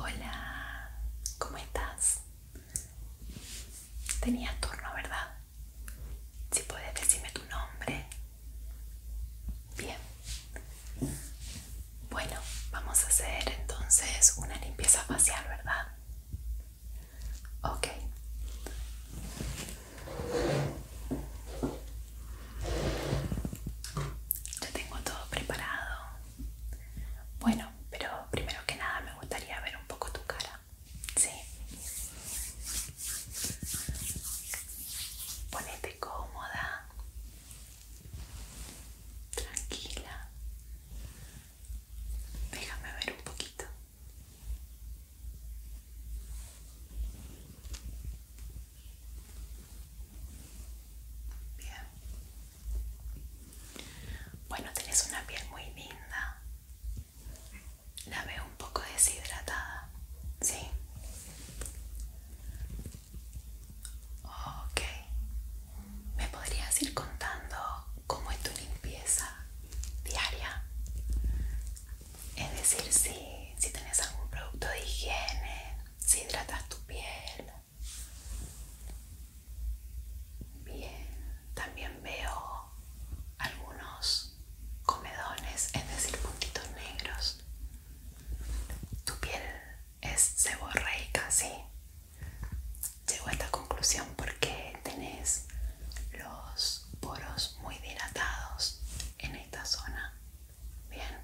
Hola, ¿cómo estás? Tenía turno, ¿verdad? Si puedes decirme tu nombre. Bien. Bueno, vamos a hacer entonces una limpieza facial, ¿verdad? Ok. Ya tengo todo preparado. Bueno, pero primero que nada me gustaría ver un poco tu cara. Sí. Ponete cómoda. Tranquila. Déjame ver un poquito. Bien. Bueno, tenés una piel muy linda. La veo un poco deshidratada, ¿sí? Ok. ¿Me podrías ir contando cómo es tu limpieza diaria? Es decir, si, si tenés algún producto de higiene, si hidratas tu piel. Bien, también veo algunos comedones, es decir, puntitos negros. Tu piel es seborreica, sí. Llego a esta conclusión porque tenés los poros muy dilatados en esta zona. Bien.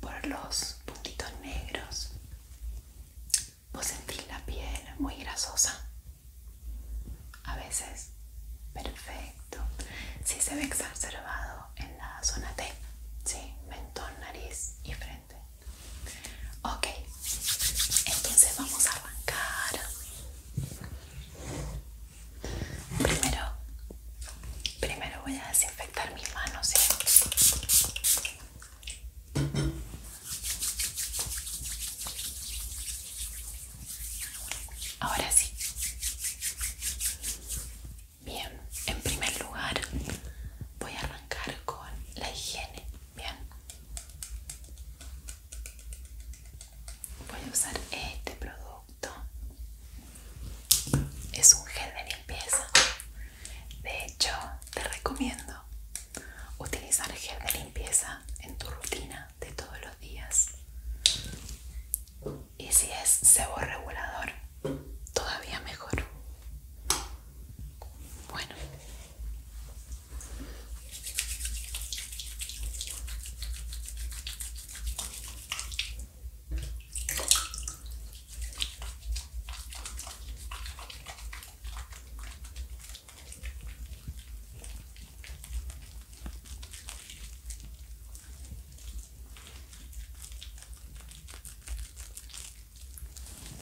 Por los puntitos negros. Vos sentís la piel muy grasosa a veces perfecto si sí se ve exacerbado en la zona T sí mentón nariz y frente ok entonces vamos a arrancar primero primero voy a desinfectar mis manos ¿sí? Ahora sí. Bien, en primer lugar voy a arrancar con la higiene. Bien. Voy a usar este producto. Es un gel de limpieza. De hecho, te recomiendo utilizar gel de limpieza en tu rutina de todos los días. Y si es sebo regulador, todavía mejor. Bueno.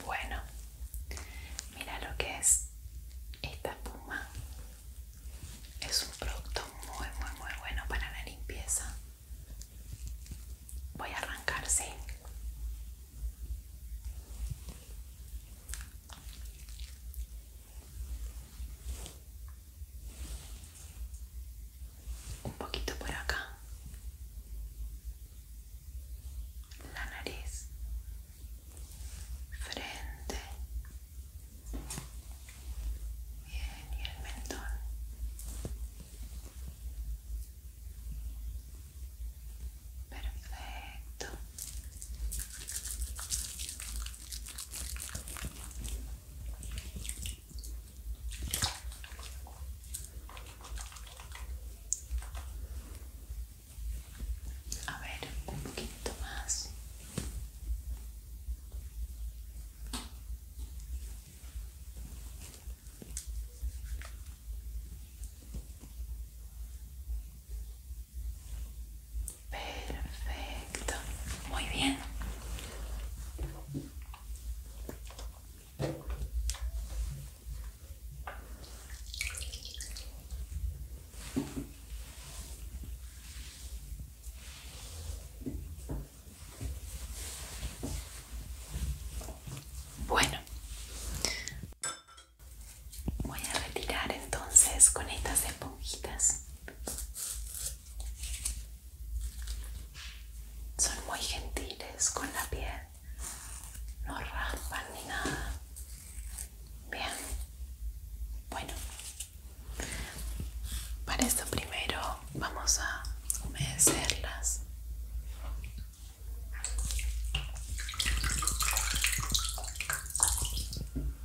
Bueno, mira lo que es esta espuma. Es un producto muy, muy, muy bueno para la limpieza. Voy a arrancar, sí un poquito por acá la nariz frente y el mentón perfecto a ver, un poquito más. Perfecto, muy bien. Bueno, Voy a retirar entonces con estas esponjitas. Son muy gentiles con la piel. No raspan ni nada. Bien. Bueno. Para esto primero vamos a humedecerlas.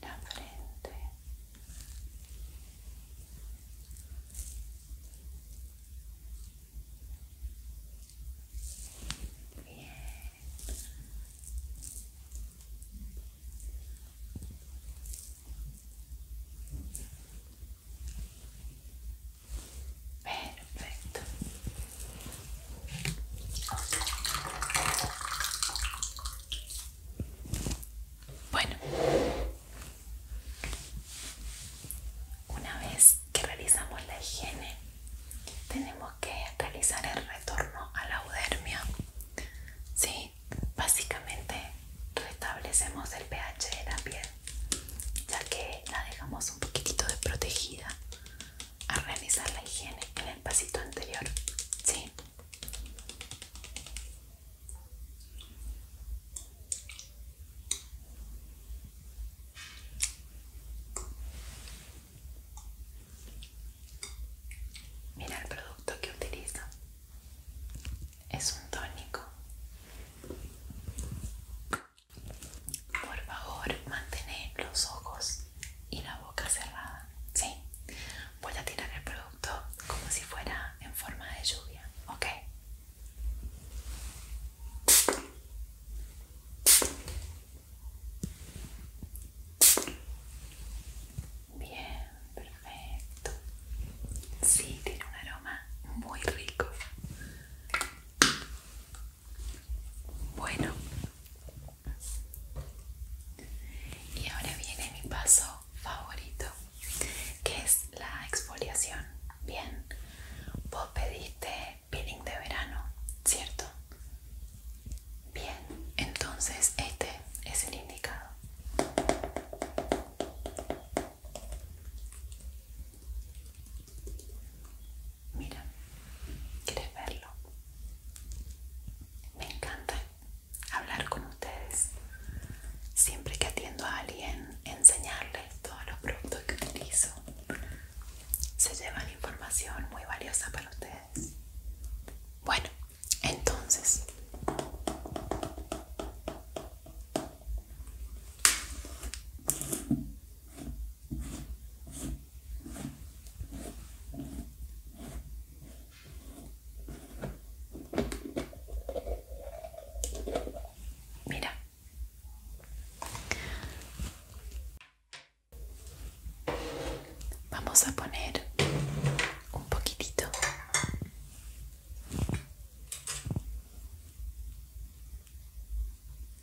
la frente bien perfecto bueno, una vez que realizamos la higiene, tenemos que realizar el retorno a la udermia, ¿sí? Básicamente restablecemos el pH de la piel, ya que la dejamos un poquitito desprotegida a realizar la higiene en el pasito anterior, ¿sí? Mira el producto que utilizo. Es un tónico. Por favor, mantener los ojos y la boca cerrada. ¿sí? Voy a tirar el producto como si fuera en forma de lluvia. ¿Ok? Bien, perfecto. Sí, tiene un aroma muy rico. Bueno. Y ahora viene mi paso favorito, que es la exfoliación. Bien, vos pediste peeling de verano, ¿cierto? Bien, entonces este es el indicado. Mira, ¿quieres verlo? Me encanta hablar con ustedes. Siempre que atiendo a alguien, enseñarles todos los productos que utilizo. Se llevan información muy valiosa para ustedes. Bueno, entonces... Mira. Vamos a poner un poquitito.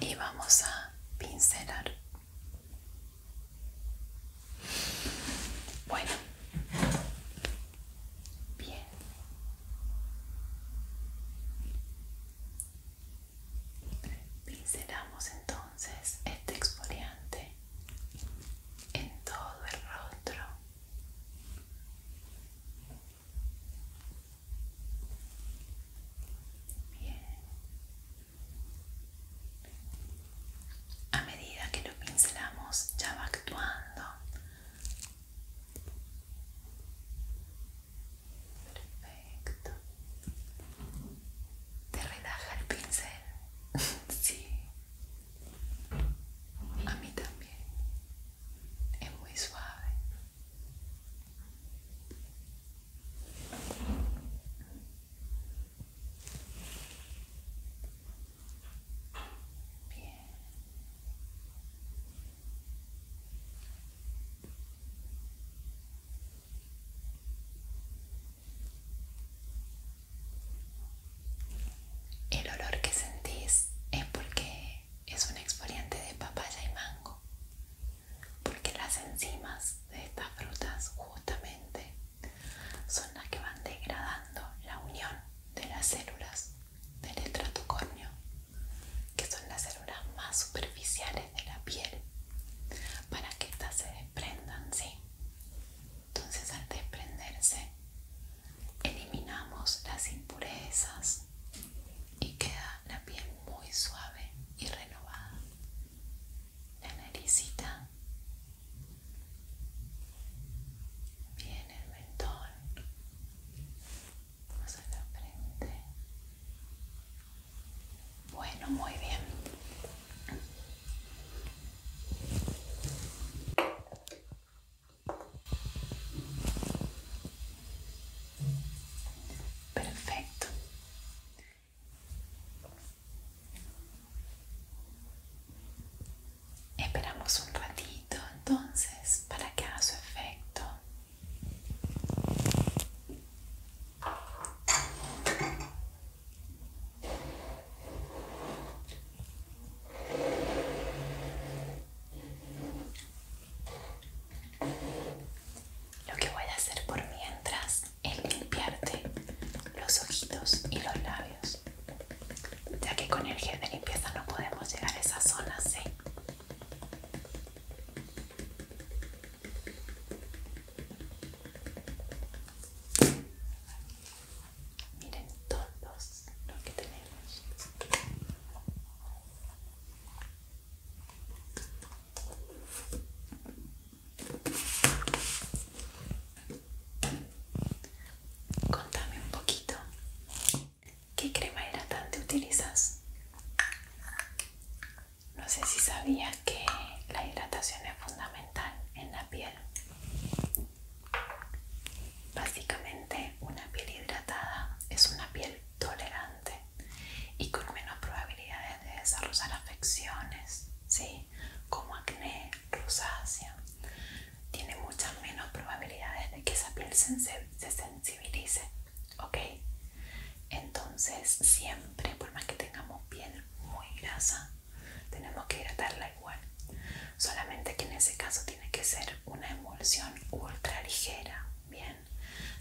y vamos a pincelar. Bueno, bien. Pincelamos entonces este exfoliante en todo el rostro a medida que lo pincelamos ya va actuando. Perfecto. ¿Te relaja el pincel? sí. A mí también es muy suave. El olor que sentís es porque es un exfoliante de papaya y mango porque las enzimas de estas frutas justamente son las que van degradando la unión de las células del estratocornio, que son las células más superficiales de la piel, para que estas se desprendan, ¿sí? Entonces al desprenderse, eliminamos las impurezas y queda la piel muy suave y renovada. La naricita. Bien, el mentón. Vamos a la frente. Bueno, muy bien. Perfecto. Esperamos un ratito entonces para que haga su efecto. Lo que voy a hacer por mientras es limpiarte los ojitos y los labios, ya que con el gel de limpieza no podemos llegar a esa zona, ¿sí? Miren todos los que tenemos. Contame un poquito, ¿qué crema hidratante utilizas? No sé si sabías que la hidratación es fundamental en la piel. Básicamente una piel hidratada es una piel tolerante y con menos probabilidades de desarrollar afecciones, ¿sí? como acné, rosácea. Tiene muchas menos probabilidades de que esa piel se, sensibilice, ¿ok? Entonces siempre, por más que tengamos piel muy grasa, tenemos que hidratarla igual. Solamente que en ese caso tiene que ser una emulsión ultra ligera, bien,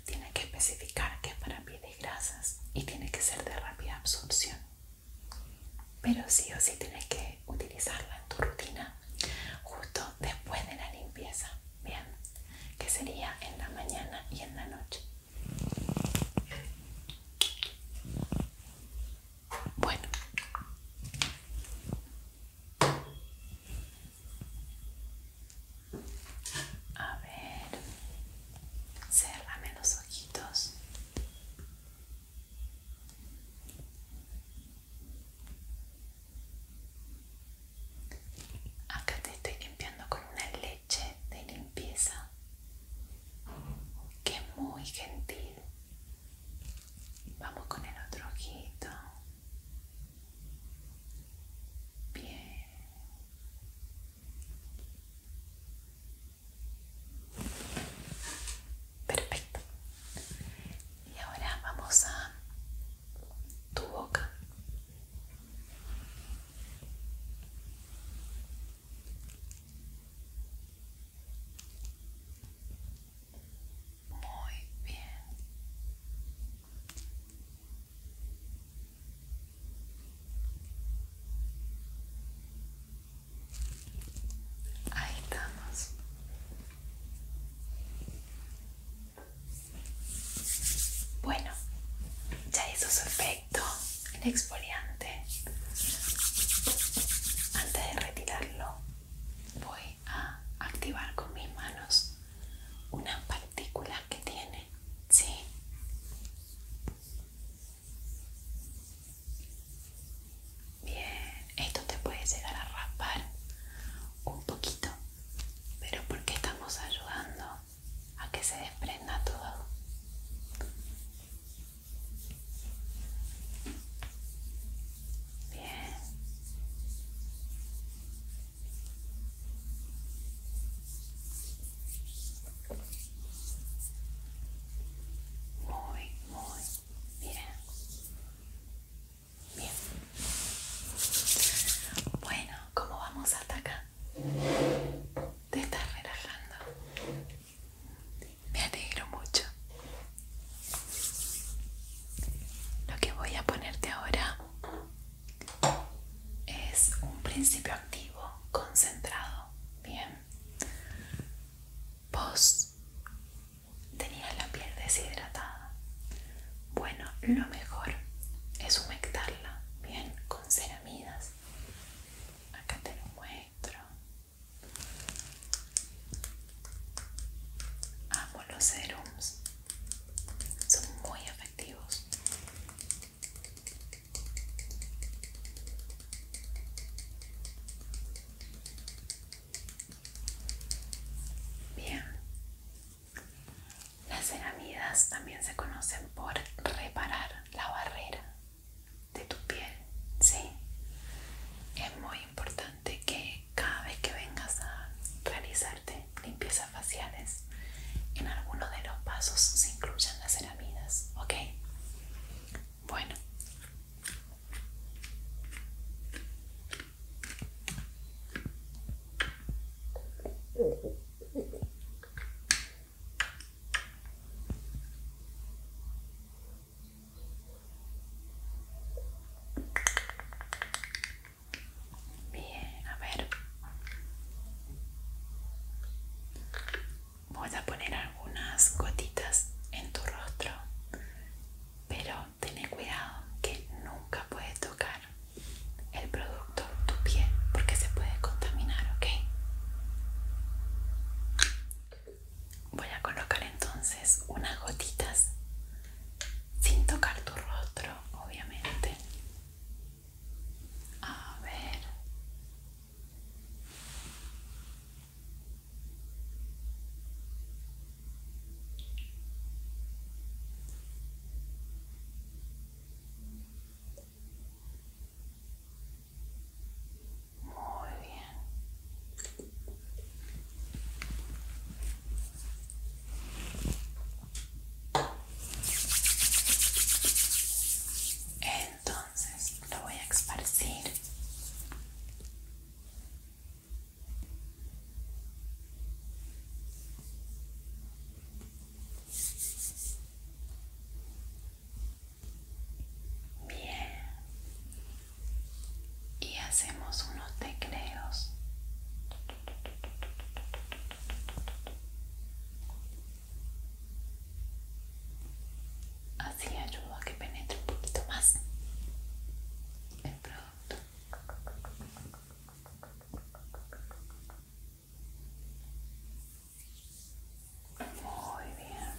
tiene que especificar que es para pieles grasas y tiene que ser de rápida absorción. Pero sí o sí tienes que utilizarla en tu rutina justo después de la limpieza, bien, que sería en la mañana y en la noche. Bueno, a ver, cérrame los ojitos. Acá te estoy limpiando con una leche de limpieza que muy gentil. Vamos con el otro ojito. Bien. Perfecto. Y ahora vamos a tu boca. Muy bien. Ahí estamos. Bueno, ya hizo su efecto el exfoliante. Antes de retirarlo, voy a activar con mis manos unas partículas que tiene sí. Bien, esto te puede llegar a raspar un poquito, pero porque estamos ayudando a que se desprenda todo. Bien. Muy, muy bien. Bien. Bueno, ¿cómo vamos hasta acá? Te estás relajando. Me alegro mucho. Lo que voy a ponerte ahora es un principio activo, concentrado. Bien. Vos tenías la piel deshidratada. Bueno, lo mejor es humectarla, bien, con ceramidas. Acá te lo muestro. Amo los serums son muy efectivos bien las ceramidas también se conocen por reparar la barrera de tu piel sí es muy importante que cada vez que vengas a realizarte Limpiezas limpieza faciales, en alguno de los pasos se incluyen las ceramidas, ¿ok? Bueno. Bien, a ver. Voy a poner algunas gotitas en tu rostro, pero ten cuidado que nunca puedes tocar el producto, tu piel, porque se puede contaminar, ¿ok? Voy a colocar entonces unas gotitas sin tocar tu rostro, obviamente. A ver. Muy bien. Entonces lo voy a esparcir. Bien. Y hacemos unos tecleos. Así ayuda a que penetre un poquito más el producto. Muy bien.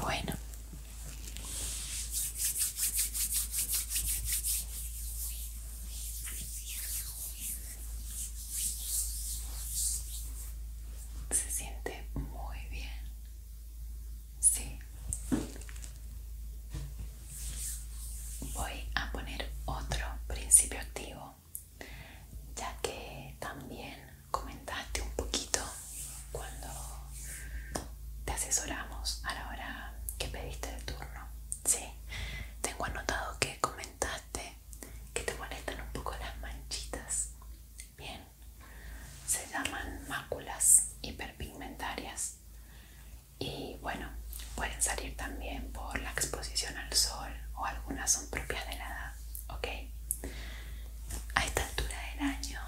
Bueno, se siente muy bien. Sí. Voy a poner otro principio activo, ya que también comentaste un poquito cuando te asesoramos a la hora que pediste el turno. Sí, tengo anotado que comentaste que te molestan un poco las manchitas. Bien, se llaman máculas hiperpigmentarias y bueno, pueden salir también por la exposición al sol o algunas son propias de la edad, ¿ok? A esta altura del año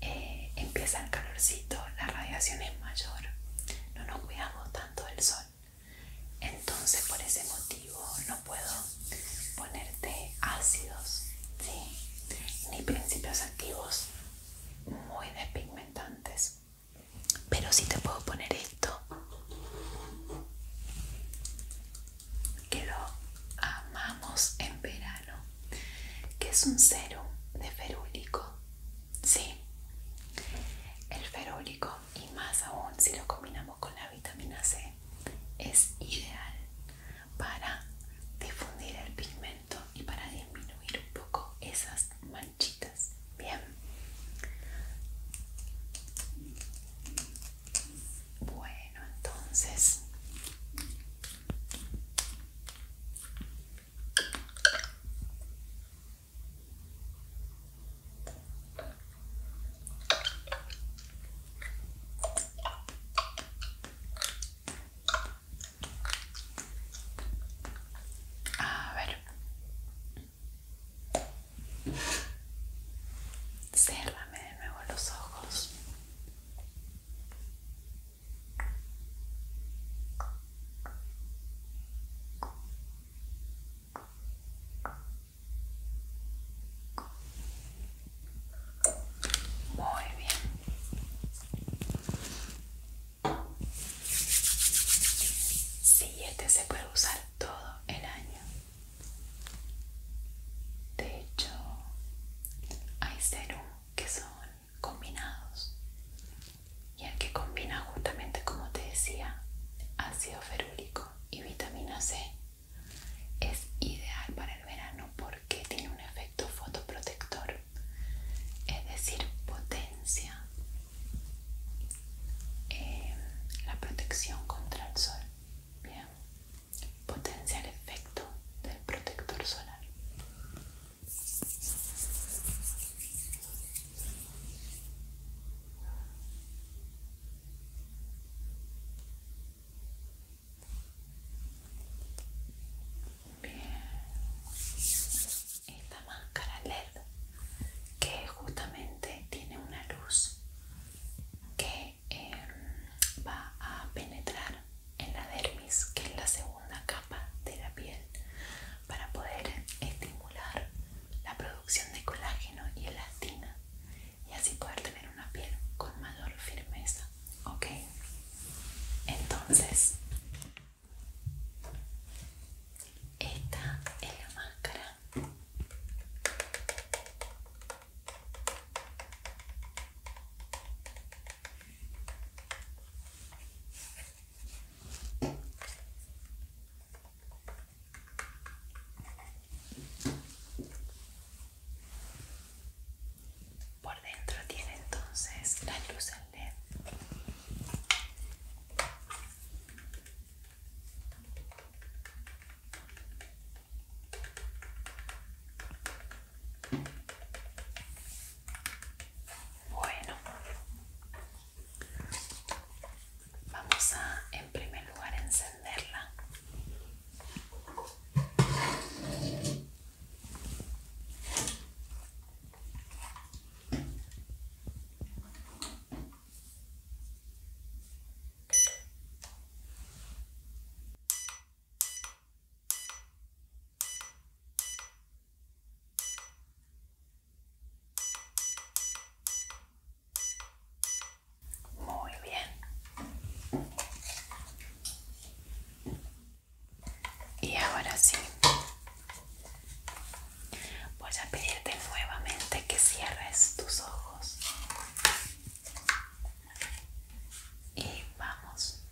eh, empieza el calorcito, la radiación es mayor, no nos cuidamos tanto del sol. Entonces por ese motivo no puedo ponerte ácidos, ni principios activos muy despigmentantes. Pero sí te puedo poner esto que lo amamos en verano que es un cero de ferúlico. Sí, el ferúlico y más aún si lo combinamos con la vitamina C es ideal para difundir el pigmento y para disminuir un poco esas manchitas. Bien. Bueno, entonces a ver. ciérrame de nuevo los ojos. Muy bien. Sí, este se puede usar todo el año. De hecho, hay serum que son combinados y el que combina justamente como te decía ácido ferúlico y vitamina C es ideal para el verano porque tiene un efecto fotoprotector es decir potencia eh, la protección contra el sol potencia el efecto del protector solar Bien. Esta máscara LED que justamente tiene una luz que em, va a penetrar en la dermis, que es la segunda capa de la piel, para poder estimular la producción de colágeno y elastina y así poder tener una piel con mayor firmeza. ¿Ok? Entonces, esta es la máscara. Por dentro tiene entonces la luz LED. Bueno, vamos a en primer lugar encenderla. Muy bien. Y ahora sí. Voy a pedirte nuevamente que cierres tus ojos. Y vamos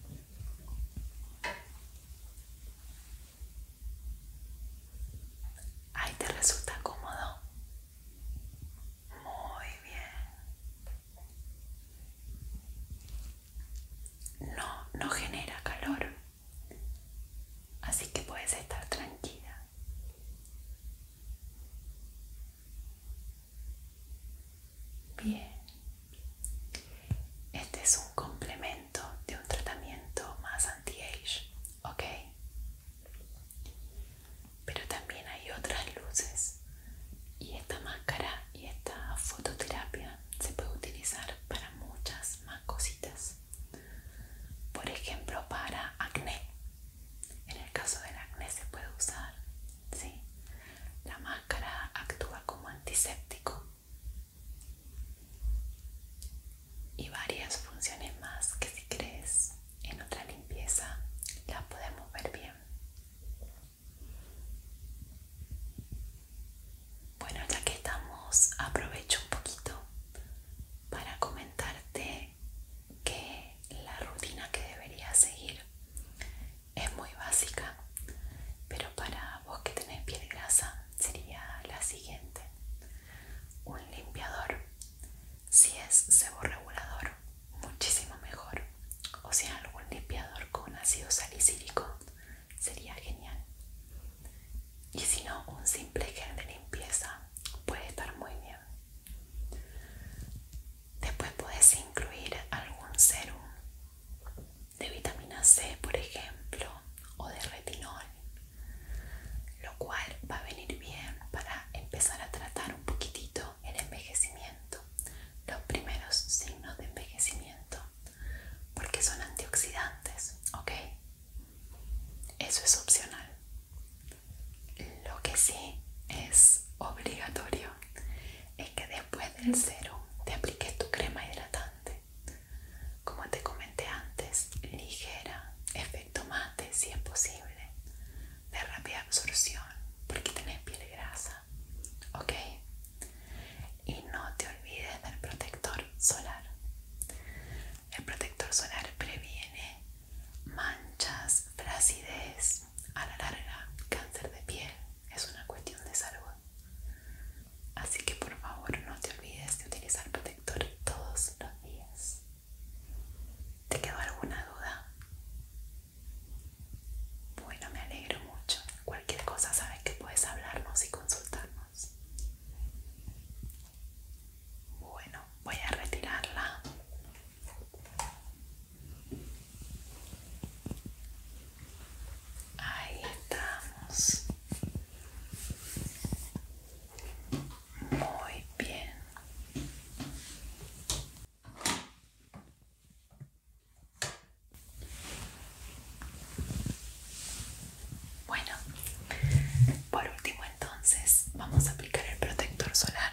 Ahí te resulta cómodo. Muy bien. No, no genera calor. Así que puedes estar tranquila. Bien. Este es un complemento de un tratamiento más anti-age, ¿ok? Pero también hay otras luces y esta máscara y esta fototerapia se puede utilizar para muchas más cositas. Por ejemplo, para acné. En el caso del acné se puede usar, ¿sí? La máscara actúa como antiséptico y varias funciones más que si crees en otra limpieza la podemos ver bien bueno ya que estamos aprovecho un poquito para comentarte que la rutina que deberías seguir es muy básica, pero para vos que tenés piel grasa sería la siguiente. Un limpiador, si es seborregulador, muchísimo mejor. O si es algún limpiador con ácido salicílico sería genial. Y si no, un simple gel de limpieza puede estar muy bien. Después puedes incluir algún serum de vitamina C, por ejemplo, o de retinol, lo cual va a venir bien para empezar a tratar un poquitito el envejecimiento, los primeros signos de envejecimiento, porque son antioxidantes, ¿ok? Eso es opcional. Lo que sí es obligatorio es que después del cero te apliques tu crema hidratante como te comenté antes ligera efecto mate si es posible de rápida absorción porque tenés piel grasa ok y no te olvides del protector solar el protector solar previene manchas, flacidez, a la larga cáncer de piel es una cuestión de salud Así que por favor no te olvides de utilizar protector todos los días. ¿Te quedó alguna duda? Bueno, me alegro mucho. Cualquier cosa sabes que puedes hablarnos y consultarnos. Bueno, voy a retirarla. Ahí estamos. Muy bien. Bueno, por último entonces vamos a aplicar el protector solar.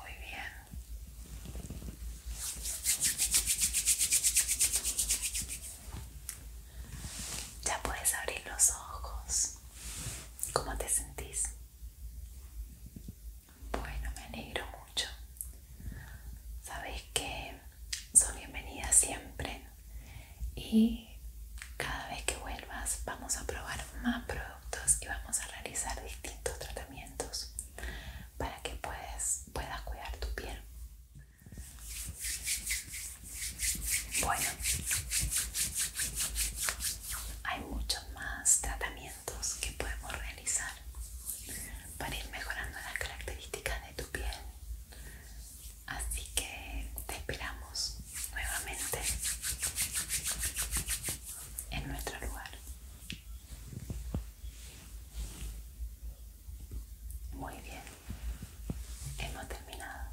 Muy bien. Ya puedes abrir los ojos. ¿Cómo te sentís? Bueno, me alegro mucho. Sabes que son bienvenidas siempre y cada vez que vuelvas vamos a probar más productos y vamos a realizar distintos tratamientos para que puedas, puedas cuidar tu piel. Bueno, hay muchos más tratamientos que podemos realizar para ir mejorando las características de tu piel. Así que te esperamos nuevamente en nuestro lugar. Muy bien, hemos terminado.